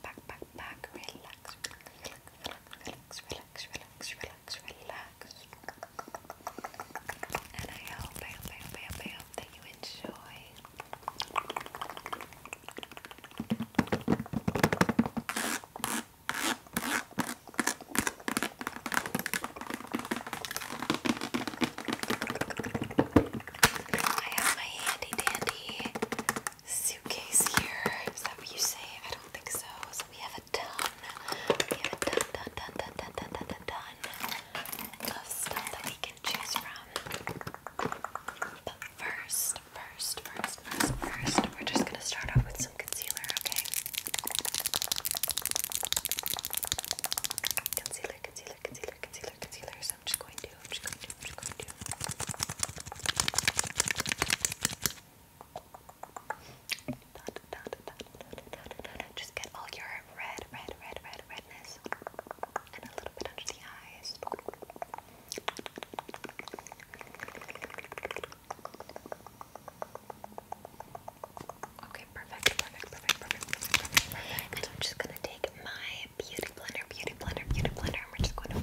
back, back, back. Relax, relax, relax, relax, relax, relax, relax. And I hope, I hope, I hope, I hope, I hope that you enjoy. I have my handy dandy suitcase here. Is that what you say? I don't think so. So we have a ton. We have a ton, ton, ton, ton, ton, ton, ton, ton, of stuff that we can choose from. But first, first, first, first, first, we're just gonna start off with some concealer, okay? Concealer, concealer, concealer, concealer, concealer. So I'm just going I'm just gonna do, I'm just gonna do. Dot, get all your red, red, red, red, redness, and a little bit under the eyes. Okay, perfect, perfect, perfect, perfect, perfect, I'm just gonna take my beauty blender, beauty blender, beauty blender, and we just going to.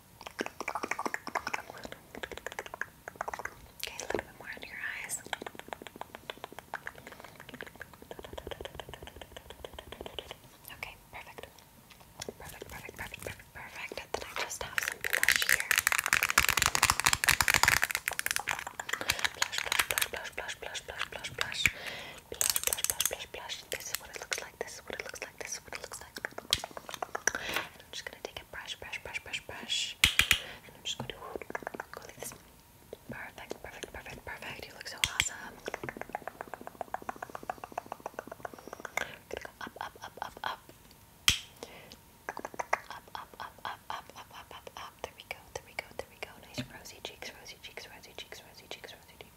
Okay, a little bit more under your eyes. Okay, perfect. Perfect, perfect, perfect, perfect, then I just have some blush here. blush, blush, blush, blush, blush, blush, blush, blush, blush, blush, blush, blush, blush. This is what it looks like. This is what it looks like. This I'm just gonna take a brush, brush, brush, brush, brush. And I'm just gonna go like this. Perfect, perfect, perfect, perfect. You look so awesome. gonna go up, up, up, up. Up, up, up, up, up, up, up, up, up. There we go, there we go, there we go. Nice rosy cheeks, rosy cheeks, rosy cheeks, rosy cheeks, rosy cheeks.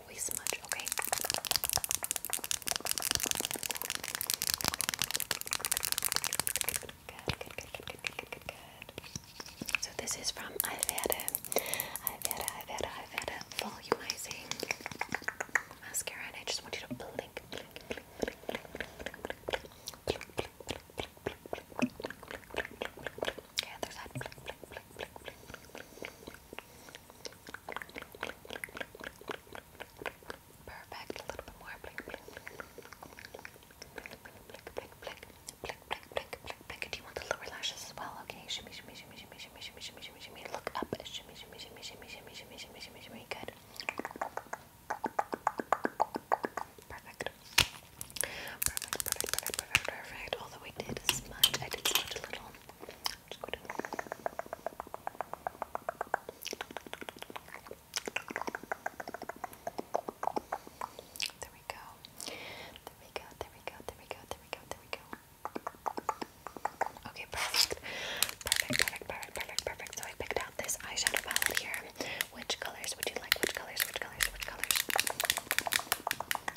so this is from Ayvera, Ayvera, Ayvera, Ayvera Volumizing Mascara, and I just want you to blink, blink, blink, blink, blink, there's that. Perfect. A little bit more. Blink, blink, blink, blink, blink, blink, blink, blink, blink, blink, blink. Do you want the lower lashes as well? Okay. Shimmy, shimmy, shimmy, shimmy, shimmy, shimmy, shimmy, shimmy, shimmy. Look up. Shimmy, shimmy, shimmy, shimmy, shimmy, shimmy, shimmy, shimmy, shimmy. Good. Perfect. Perfect, perfect, perfect, perfect, perfect. There we go. There we go. There we go. There we go. There we go. There we go. Okay, perfect. Perfect, perfect, perfect, perfect, perfect. So I picked out this eyeshadow palette here. Which colors would you like? Which colors? Which colors? Which colors?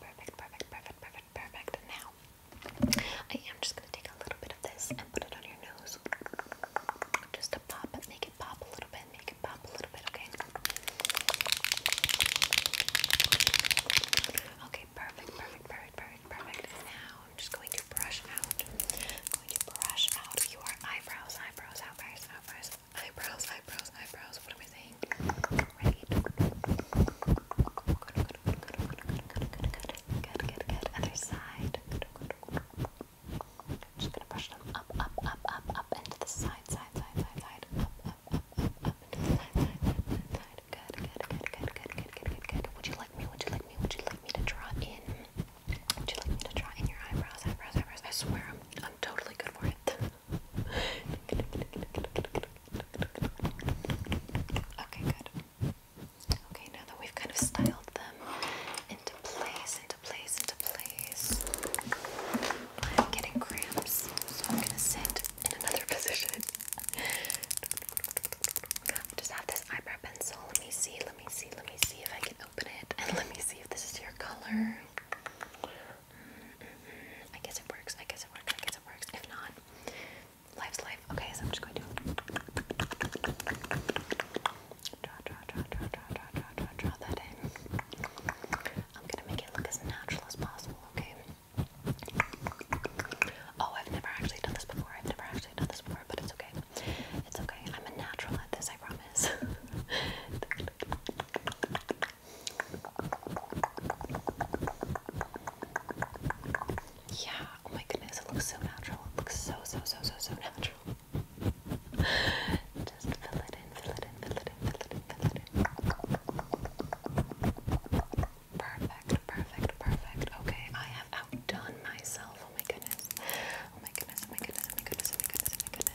Perfect, perfect, perfect, perfect, perfect. Now, I am just going to take a little bit of this and put it on your nose. Just to pop it, make it pop a little bit, make it pop a little bit, okay? Okay, perfect, perfect, perfect, perfect, perfect. Now, I'm just going to brush out, going to brush out your eyebrows, eyebrows, eyebrows, eyebrows eyebrows, eyebrows, eyebrows. What am I saying? just gonna brush them up, up, up, up, up, and the side, side, side, side, Up, up, up, up, up, and the side, side, side, Good, good, good, good, good, good, good, good, Would you like me? Would you like me? Would you like me to draw in? Would you like me to draw in your eyebrows, eyebrows, eyebrows? I swear I'm I'm totally good for it. Okay, good. Okay, now that we've kind of styled them into place, into place, into place, I'm getting cramps, so I'm gonna sit in another position. just have this eyebrow pencil. Let me see, let me see, let me see if I can open it, and let me see if this is your color. I guess it works. I guess it works. I guess it works. If not, life's life. Okay, so I'm just going to draw, draw, draw, draw, draw, draw, draw, draw, that in. I'm gonna make it look as natural as possible. Okay. Oh, I've never actually done this before. I've never actually done this before, but it's okay. It's okay. I'm a natural at this. I promise. Yeah, oh my goodness, it looks so natural. It looks so, so, so, so, so natural. Just fill it in, fill it in, fill it in, fill it in, fill it in. Perfect, perfect, perfect. Okay, I have outdone myself. Oh my goodness. Oh my goodness, oh my goodness, oh my goodness, oh my goodness, oh my goodness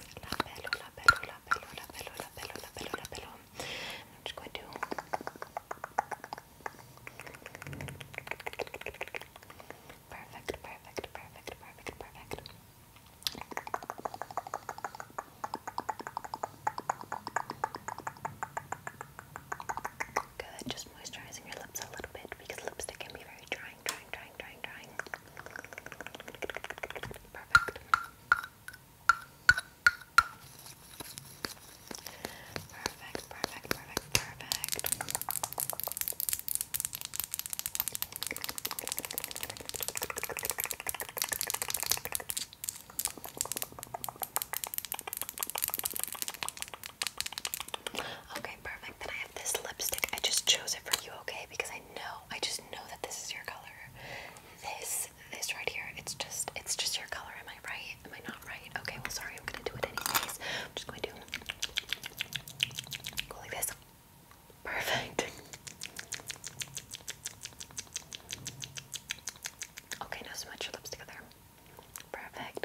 Labello, labello, labello, labello, labello, labello, labello. I'm just going to perfect, perfect, perfect, perfect, perfect. Good, just moisturizing your lips a little bit because lipstick can be very dry drawing, drawing, drawing, drawing, drawing. Perfect. Perfect, perfect, perfect, perfect. Okay, perfect. Then I have this lipstick. I just chose it for you, okay? Because I know, I just know that this is your color. This, this right here, it's just, it's just your color. Am I right? Am I not right? Okay, well, sorry, I'm gonna do it anyways. I'm just gonna do go like this. Perfect. Okay, now smudge your lips together. Perfect.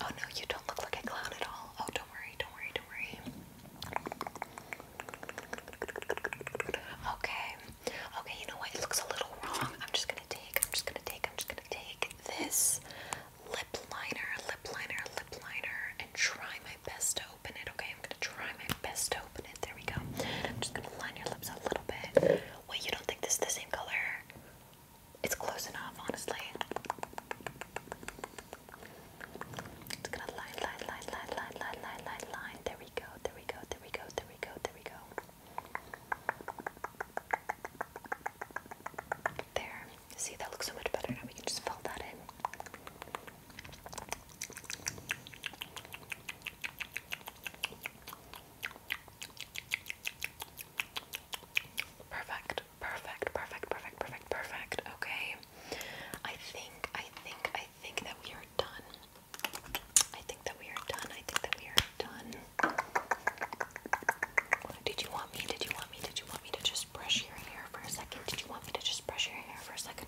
Oh no, you don't look like a clown at all. Oh, don't worry, don't worry, don't worry. Okay, okay, you know what? It looks a little wrong. I'm just gonna take, I'm just gonna take, I'm just gonna take this lip liner, lip liner, lip liner, and try my best to open it, okay? I'm gonna try my best to open it. There we go. I'm just gonna line your lips a little bit. Wait, you don't think this is the same color? It's close enough, honestly. It's gonna line, line, line, line, line, line, line, line, line. There we go, there we go, there we go, there we go, there we go. There. See, that looks so much better now. We can just fill that in. Perfect, perfect, perfect, perfect, perfect, perfect. Okay. I think, I think, I think that we are done. I think that we are done. I think that we are done. Did you want me? Did you want me? Did you want me to just brush your hair for a second? Did you want me to just brush your hair for a second?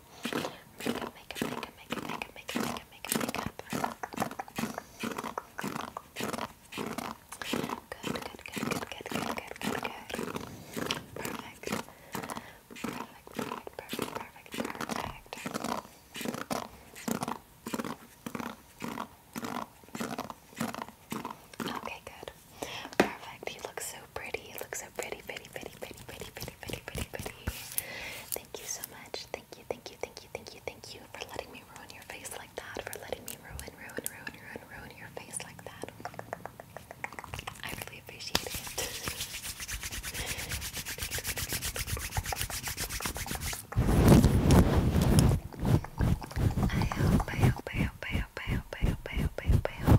Makeup, makeup, makeup, makeup, makeup, makeup, makeup, makeup, Good, good, good, good, good, good, good, good, good. Perfect. Perfect, perfect, perfect, perfect, perfect. Okay, good. Perfect. You look so pretty. You look so pretty, pretty, pretty, pretty, pretty, pretty pretty, pretty, pretty, Thank you so much. Thank you, thank you, thank you, thank you, thank you for letting me ruin your face like that. For letting me ruin, ruin, ruin, ruin, ruin your face like that. I really appreciate it. I hope, I hope, I hope, I hope, I